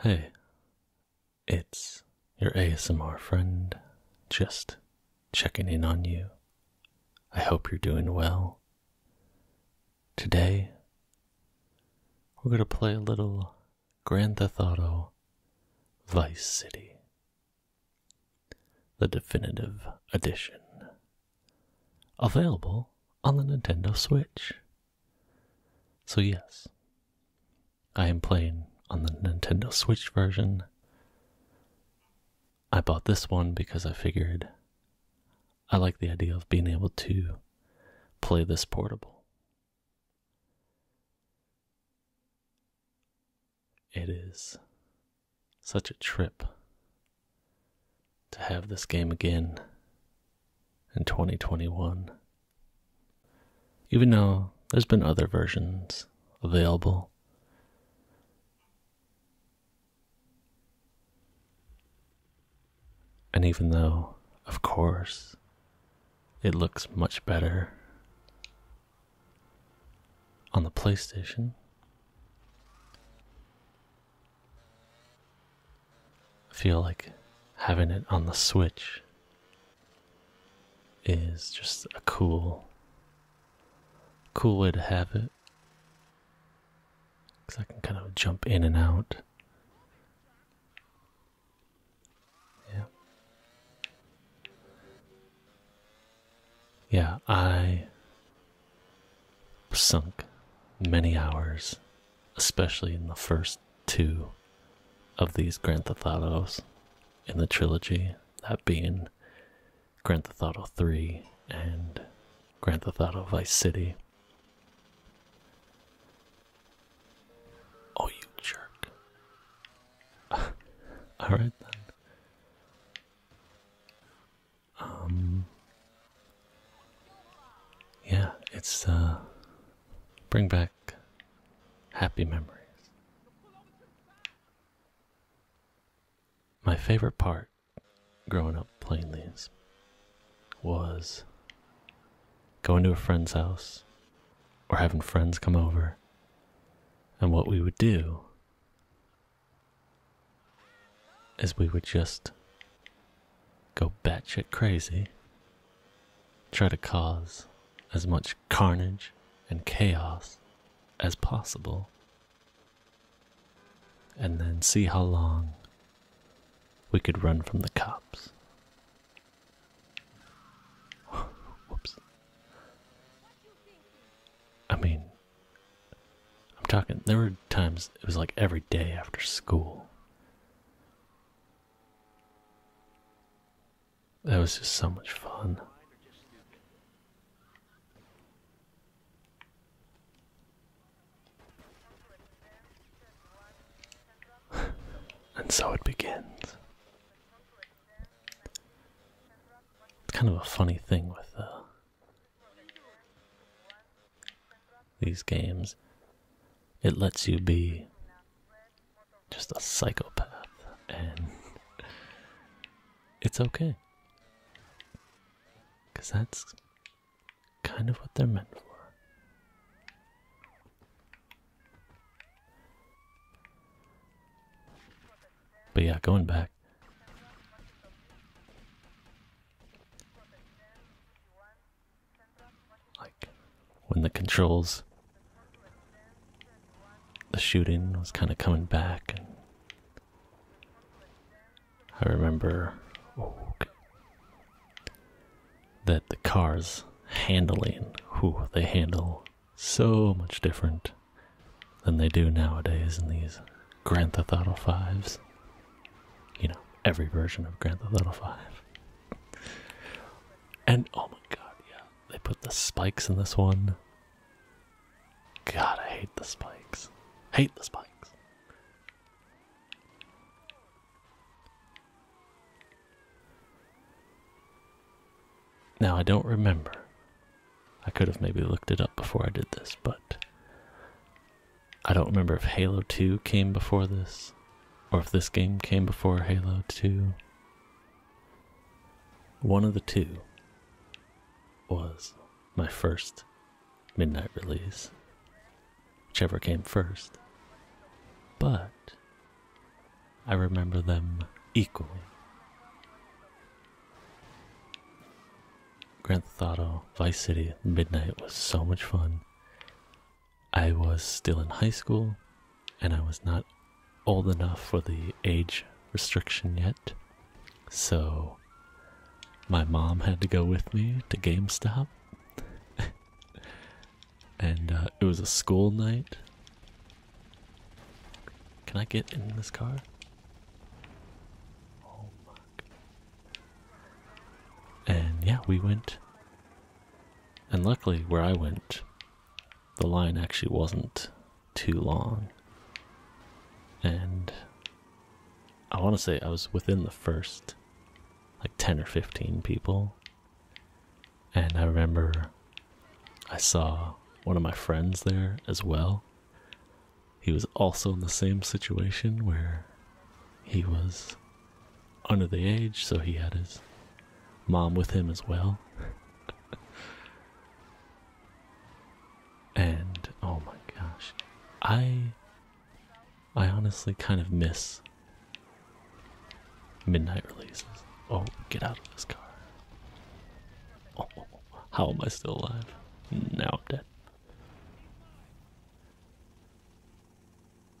Hey, it's your ASMR friend, just checking in on you. I hope you're doing well. Today, we're going to play a little Grand Theft Auto Vice City, the definitive edition, available on the Nintendo Switch. So, yes, I am playing on the Nintendo Switch version. I bought this one because I figured I like the idea of being able to play this portable. It is such a trip to have this game again in 2021. Even though there's been other versions available. And even though, of course, it looks much better on the PlayStation feel like having it on the Switch is just a cool, cool way to have it. Because I can kind of jump in and out. Yeah. Yeah, I sunk many hours especially in the first two of these Grand Theft Autos in the trilogy, that being Grand Theft Auto 3 and Grand Theft Auto Vice City. Oh, you jerk. Alright then. Um. Yeah, it's, uh. Bring back happy memories. My favorite part growing up plainly was going to a friend's house or having friends come over. And what we would do is we would just go batshit crazy, try to cause as much carnage and chaos as possible, and then see how long we could run from the cops. Whoops. I mean, I'm talking, there were times it was like every day after school. That was just so much fun. and so it begins. kind of a funny thing with the. Uh, these games. It lets you be just a psychopath, and it's okay. Because that's kind of what they're meant for. But yeah, going back. Like when the controls, the shooting was kind of coming back, I remember that the cars handling, whew, they handle so much different than they do nowadays in these Grand Theft Auto 5s. You know, every version of Grand Theft Auto 5 and oh my god, yeah, they put the spikes in this one. God, I hate the spikes. Hate the spikes. Now, I don't remember. I could have maybe looked it up before I did this, but I don't remember if Halo 2 came before this or if this game came before Halo 2. One of the two was my first midnight release, whichever came first. But I remember them equally. Grand Theft Auto Vice City Midnight was so much fun. I was still in high school and I was not old enough for the age restriction yet. So my mom had to go with me to GameStop. and uh, it was a school night. Can I get in this car? Oh and yeah, we went and luckily, where I went, the line actually wasn't too long. And I want to say I was within the first like 10 or 15 people. And I remember I saw one of my friends there as well. He was also in the same situation where he was under the age, so he had his mom with him as well. and oh my gosh. I I honestly kind of miss midnight releases. Oh, get out of this car. Oh, how am I still alive? Now I'm dead.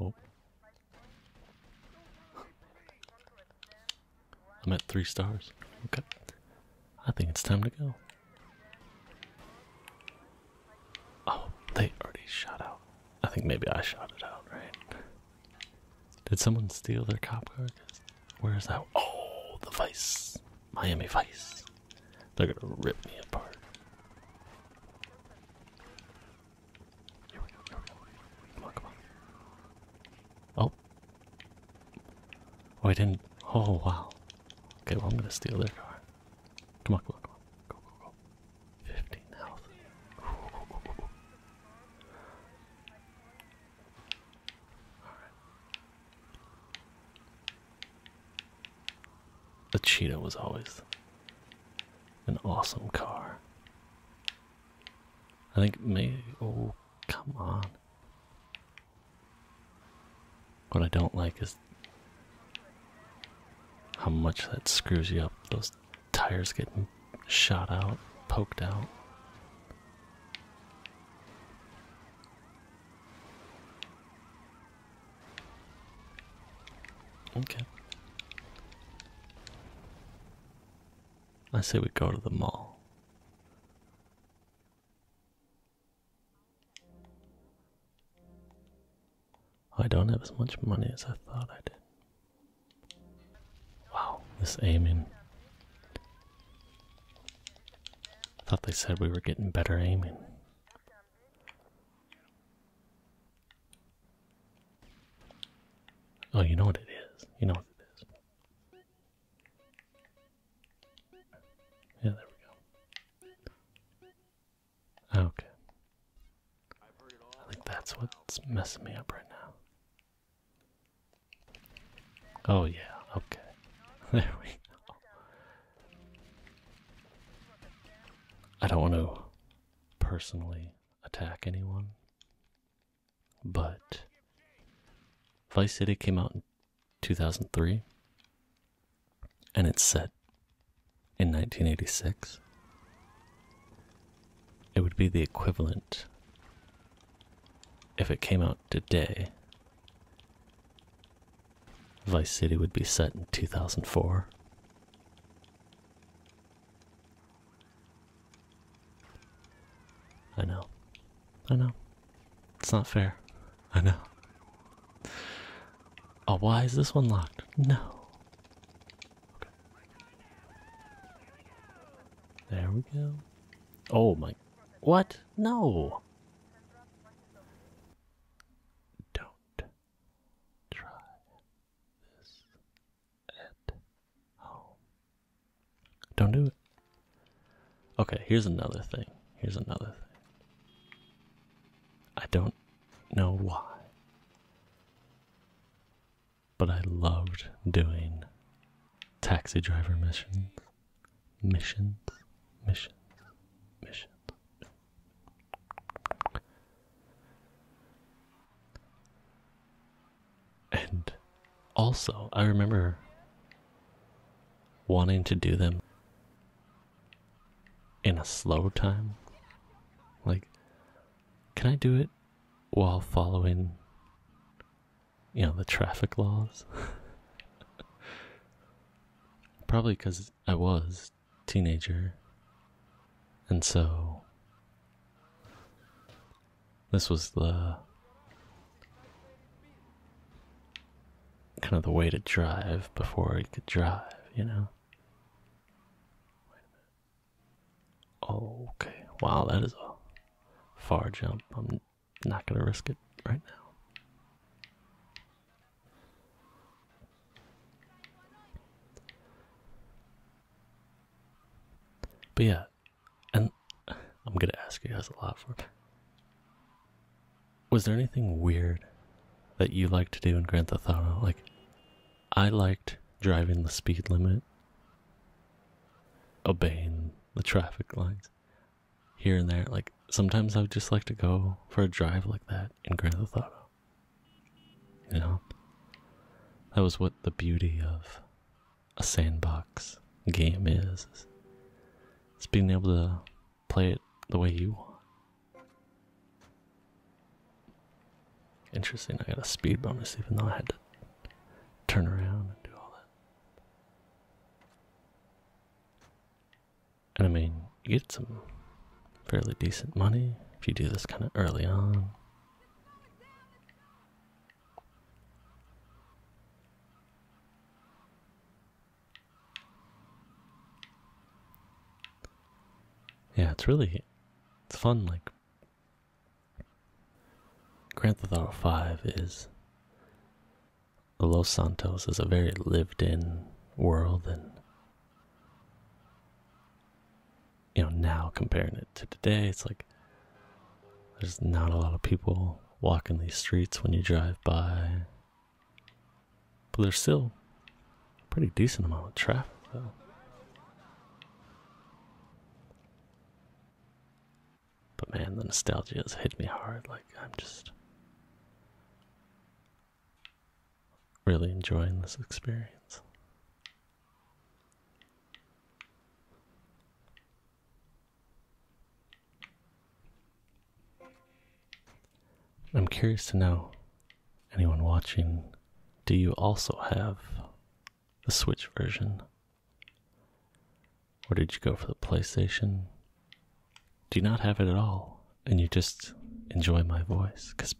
Oh. I'm at three stars. Okay. I think it's time to go. Oh, they already shot out. I think maybe I shot it out, right? Did someone steal their cop car? Where is that? Oh, the Vice. Miami Vice. They're gonna rip me apart. Here we go, Come on, come on. Oh. Oh, I didn't. Oh, wow. Okay, well, I'm gonna steal their car. Come on, come on, come on. Go, go, go. 15 health. Alright. The Cheetah was always an awesome car. I think maybe. Oh, come on. What I don't like is how much that screws you up. Those tires getting shot out, poked out. Okay. I say we go to the mall. I don't have as much money as I thought I did. Wow, this aiming. Thought they said we were getting better aiming. Oh, you know what it is. You know what it is. Yeah, there we go. Okay. I think that's what's messing me up right now. Oh, yeah, okay. There we go. I don't want to personally attack anyone, but Vice City came out in 2003 and it's set in 1986. It would be the equivalent if it came out today Vice City would be set in 2004. I know. I know. It's not fair. I know. Oh, why is this one locked? No. There we go. Oh my. What? No. Don't try this at home. Don't do it. Okay, here's another thing. Here's another thing. I don't know why, but I loved doing taxi driver missions. Missions, missions, missions. And also, I remember wanting to do them in a slow time. Like, can I do it while following, you know, the traffic laws? Probably because I was teenager. And so this was the kind of the way to drive before I could drive, you know. Okay. Wow, that is a far jump. I'm not going to risk it right now. But yeah, and I'm gonna ask you guys a lot for. it. Was there anything weird that you liked to do in Grand Theft Auto? Like, I liked driving the speed limit, obeying the traffic lights here and there. Like sometimes I would just like to go for a drive like that in Grand Theft Auto. You know, that was what the beauty of a sandbox game is. is it's being able to play it the way you want. Interesting, I got a speed bonus even though I had to turn around and do all that. And I mean, you get some fairly decent money if you do this kind of early on. Yeah, it's really it's fun like Grand Theft Auto 5 is Los Santos is a very lived in world and you know now comparing it to today it's like there's not a lot of people walking these streets when you drive by but there's still a pretty decent amount of traffic though but man the nostalgia has hit me hard like i'm just really enjoying this experience. I'm curious to know, anyone watching, do you also have the Switch version? Or did you go for the PlayStation? do not have it at all and you just enjoy my voice because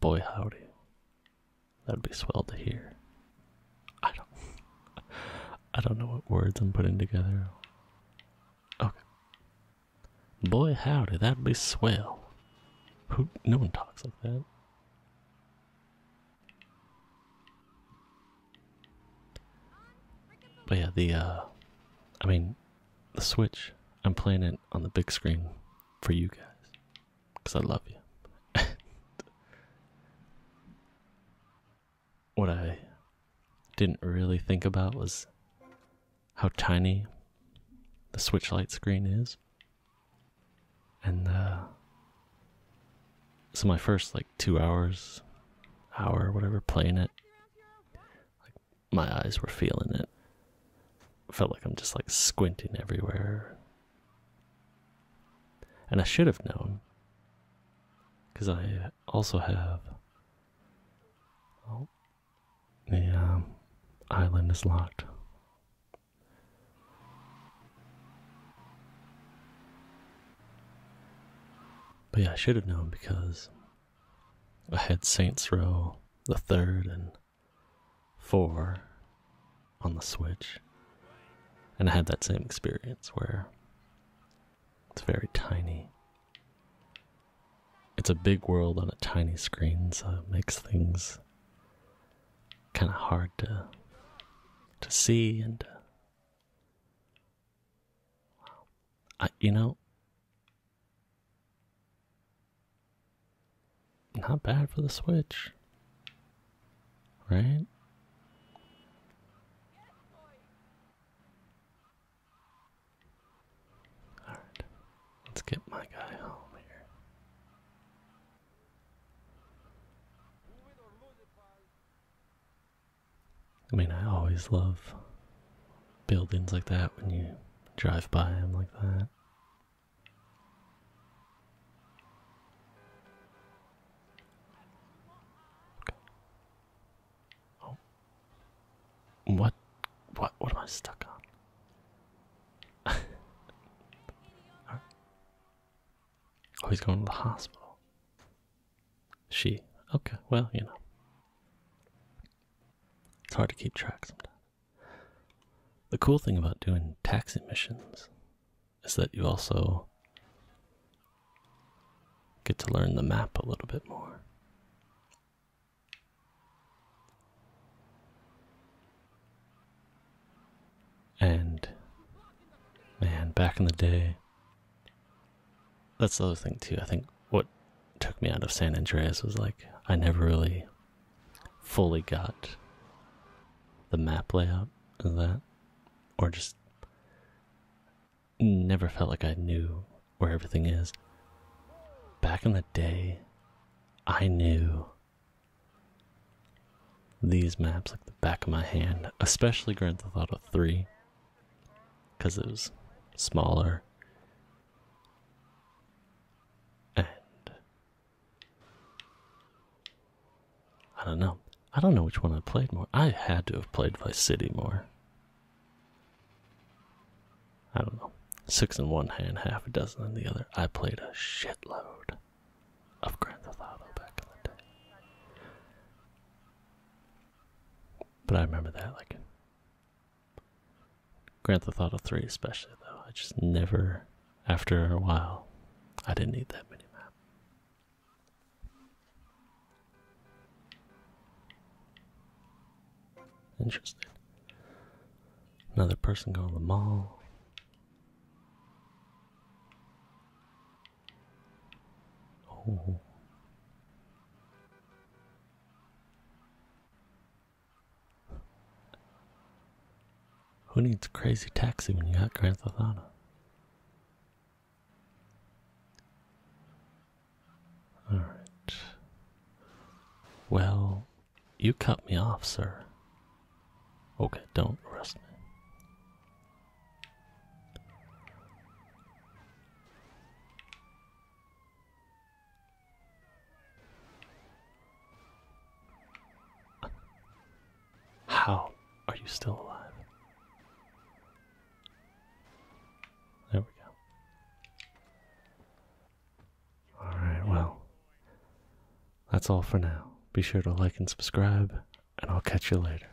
boy howdy that would be swell to hear i don't i don't know what words i'm putting together okay boy howdy that would be swell who no one talks like that but yeah the uh i mean the Switch. I'm playing it on the big screen for you guys because I love you. what I didn't really think about was how tiny the Switch light screen is. And uh, so my first like two hours, hour, whatever, playing it, my eyes were feeling it. Felt like I'm just like squinting everywhere. And I should have known. Because I also have. Oh. The um, island is locked. But yeah, I should have known because I had Saints Row the third and four on the Switch, and I had that same experience where it's very tiny. It's a big world on a tiny screen, so it makes things kind of hard to to see and I, you know, not bad for the Switch, right? All right, let's get my guy home here. I mean, I always love buildings like that when you drive by them like that. Okay. Oh. What? What? What am I stuck on? Oh, he's going to the hospital. She. Okay, well, you know. It's hard to keep track sometimes. The cool thing about doing taxi missions is that you also get to learn the map a little bit more. And man, back in the day, that's the other thing too. I think what took me out of San Andreas was like I never really fully got the map layout of that, or just never felt like I knew where everything is. Back in the day, I knew these maps like the back of my hand, especially Grand Theft Auto 3 because it was smaller and I don't know. I don't know which one I played more. I had to have played Vice City more. I don't know. Six in one hand, half a dozen in the other. I played a shitload of Grand Theft Auto back in the day. But I remember that, like Grand Theft Auto 3 especially though. I just never after a while I didn't need that mini map. Interesting. Another person going to the mall. Oh. Who needs crazy taxi when you got Grand Theft Auto? All right. Well, you cut me off, sir. Okay, don't arrest me. How are you still alive? There we go. Alright, well, that's all for now. Be sure to like and subscribe, and I'll catch you later.